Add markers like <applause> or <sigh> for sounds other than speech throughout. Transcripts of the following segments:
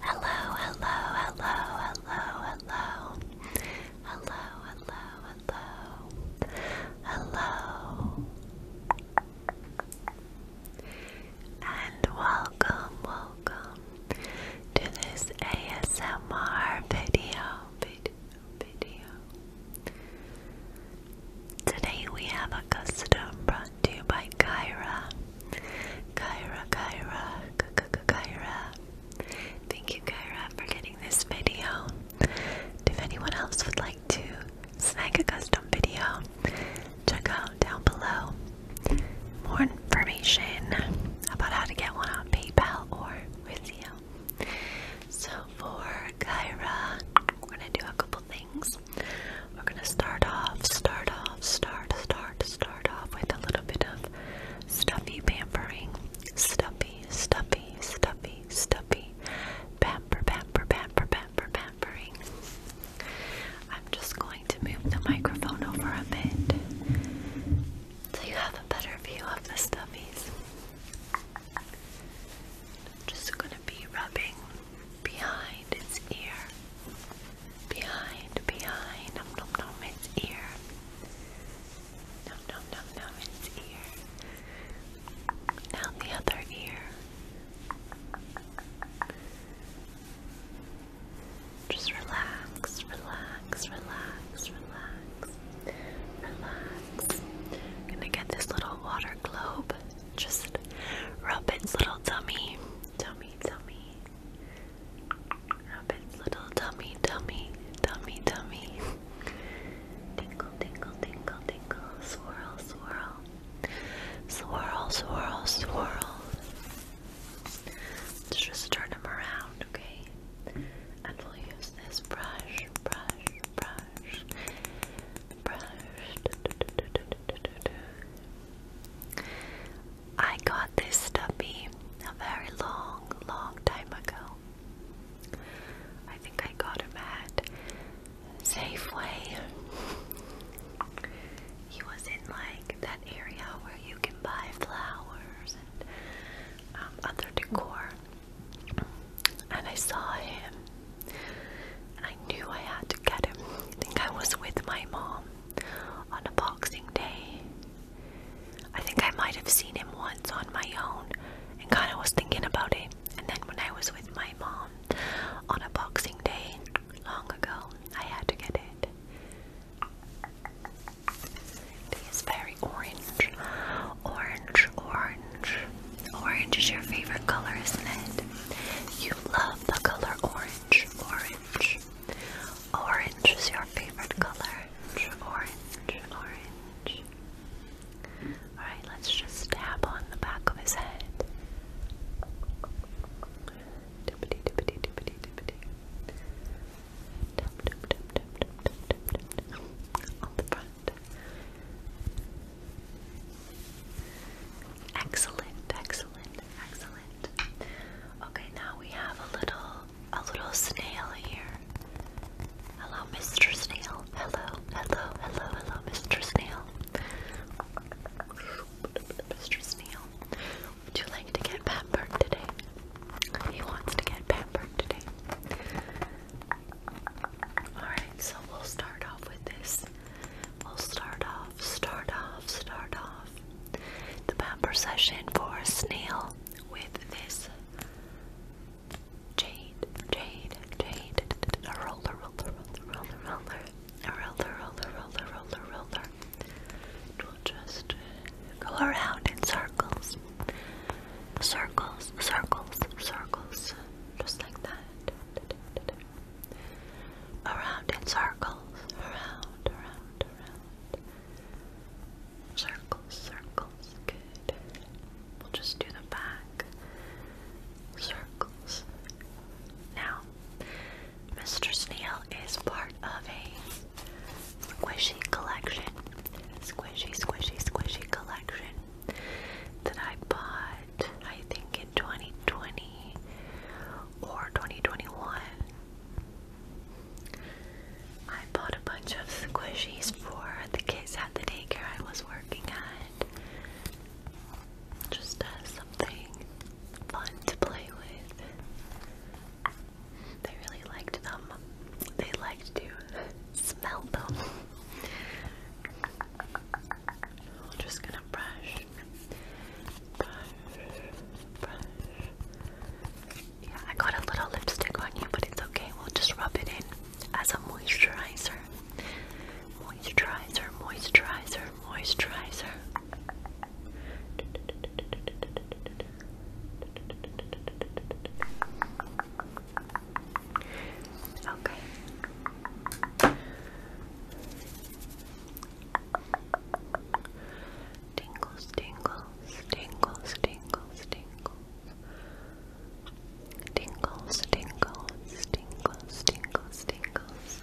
Hello, hello, hello, hello, hello. Hello, hello, hello. Hello. And welcome, welcome to this ASMR video. Video, Today we have a custom brought to you by Kyra. Kyra, Kyra, Kyra. Thank you, Kyra, for getting this video. if anyone else would like to snag a custom video, check out down below more information about how to get one on PayPal or with the so for Kyra, we're gonna do a couple things. We're gonna start off, start off, start, start, start off with a little bit of stuffy pampering. Stuffy, stuffy, stuffy, stuffy. Pamper, pamper, pamper, pamper, pampering. I'm just going to move the microphone over a bit so you have a better view of the stuffies. just gonna be rubbing behind its ear. Behind, behind, nom nom nom its ear. Nom nom nom nom its ear. Now the other ear. Just relax, relax, relax, relax. I'm gonna get this little water globe, just rub its little tummy, tummy, tummy. Rub its little tummy, tummy, tummy, tummy. Tingle, tingle, tingle, tingle. Swirl, swirl. Swirl, swirl, swirl. Let's just turn them around, okay? and will use this brush, brush, brush, brush. I got this stubby a very long, long time ago. I think I got him at Safeway. He was in like that area where you can buy flowers and um, other decor. And I saw him. I knew I had to get him. I think I was with my mom on a boxing day. I think I might have seen him once on my own and kind of was thinking about it. And then when I was with my mom on a boxing day long ago, I had to get it. It is very orange. Orange, orange. Orange is your favorite color, isn't it? You love the color orange, orange. Orange is your favorite color. Orange, orange. Alright, let's just tap on the back of his head. Dippity, dippity, dippity, dippity. Excellent, excellent, excellent. Okay, now we have a little, a little snail here. Hello, Mr. Snail. Hello, hello, hello, hello, Mr. Snail. Mr. Snail. Would you like to get pampered today? He wants to get pampered today. Alright, so we'll start off with this. We'll start off, start off, start off the pamper session for Snail with this jade, jade, jade, a roller, roller, roller, roller, roller, a roller, roller, roller, roller, roller just go around in circles. Circles, circles, circles. Just like that. Around in circles. Around, around, around. Circles, circles. Good. We'll just do the back. Circles. Now, Mr. Snail is part of a squishy collection, squishy, squishy, squishy collection that I bought, I think, in 2020 or 2021. I bought a bunch of squishies for the kids at the daycare I was working at. Just as uh, something fun to play with. They really liked them. They liked to smell them. I'm just gonna brush, brush, brush. Yeah, I got a little lipstick on you, but it's okay. We'll just rub it in as a moisturizer. Moisturizer, moisturizer, moisturizer. Okay. Tingles, tingles, tingles, tingles, tingles. Tingles, tingles, tingles, tingles, tingles.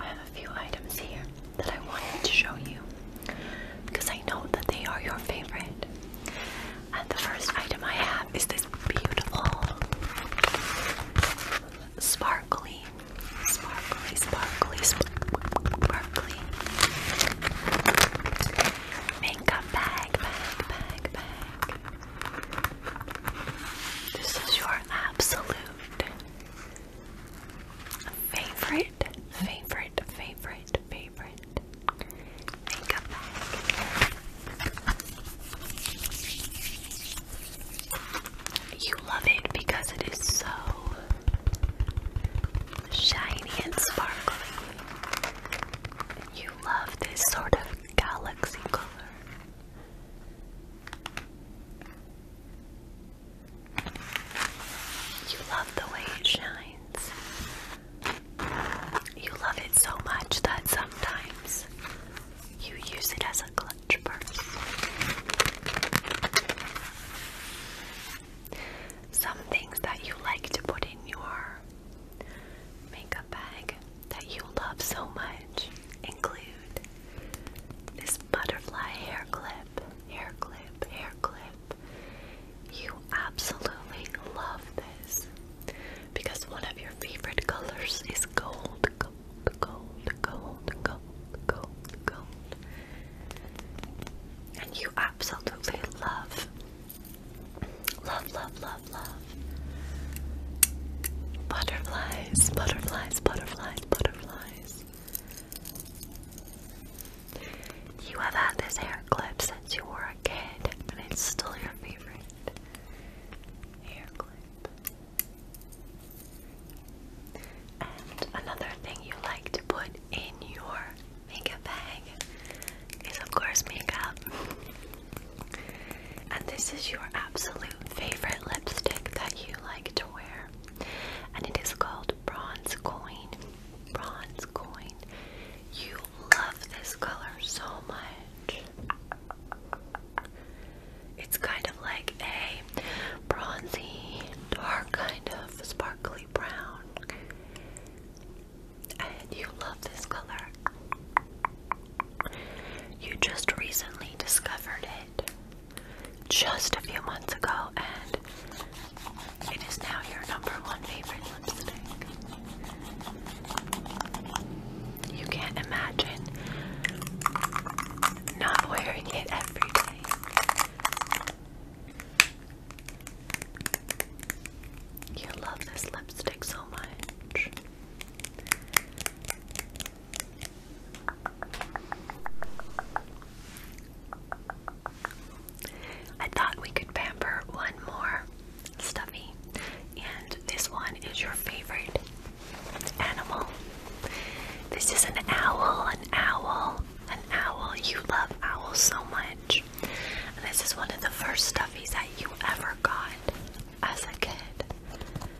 I have a few items here that I wanted to show you because I know that they are your favorite. And the first item I have is this beautiful, sparkly, sparkly, sparkly, sparkly makeup bag. This is your absolute favorite, favorite, favorite, favorite makeup bag. You love it because it is so shiny and sparkly. You love this sort of galaxy color. You love the way it shines. You love it so much that sometimes you use it as a clutch purse. Some things that you like to put in your makeup bag that you love so much include this butterfly hair clip, hair clip, hair clip. You absolutely love this because one of your favorite colors is gold, gold, gold, gold, gold, gold, gold. And you absolutely love, love, love, love, love. Butterflies, butterflies, butterflies, butterflies. You have had this hair clip since you were a kid, but it's still your favorite hair clip. And another thing you like to put in your makeup bag is, of course, makeup. <laughs> and this is your absolute favorite lipstick that you like to wear, and it is called Bronze Coin. Bronze Coin. You love this color so much. It's kind of like a bronzy, dark kind of sparkly brown. And you love this color. You just recently discovered it just a few months ago, and it is now your number one favorite lipstick. You can't imagine not wearing it every day. You love this lipstick so much. I thought we could pamper one more stuffy, and this one is your favorite animal. This is an owl, an owl, an owl. You love owls so much. this is one of the first stuffies that you ever got as a kid.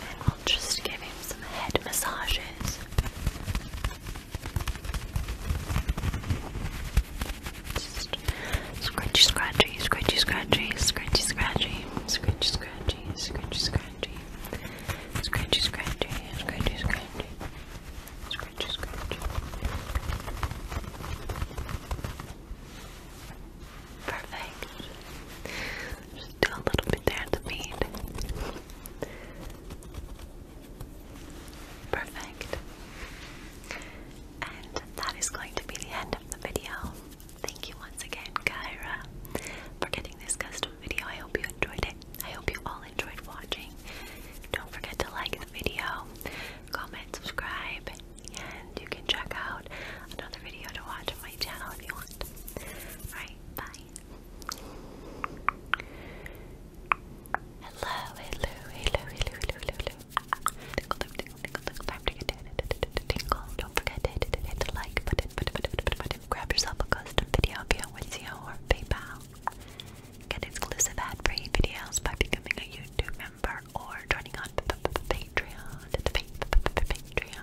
and I'll just give him some head massages. Just scratchy, scratchy, scratchy, scratchy, scratchy, scratchy, scratchy, scratchy, scratchy, scratchy, scratchy, scratchy, scratchy, scratchy, scratchy, scratchy. Perfect. Still a little bit there at the feet. Perfect. And that is going to be the end of the video. Thank you once again, Kyra, for getting this custom video. I hope you enjoyed it. I hope you all enjoyed watching. Don't forget to like the video, comment, subscribe, and you can check out another video to watch on my channel if you want. Alright, bye. Hello, hello, hello, hello, hello, hello, hello. Tinkle, tinkle, tinkle, tinkle. Time to get it. Tinkle. Don't forget to hit, like Grab yourself a custom video via Wizio or PayPal. Get exclusive ad-free videos by becoming a YouTube member or joining on Patreon. Patreon.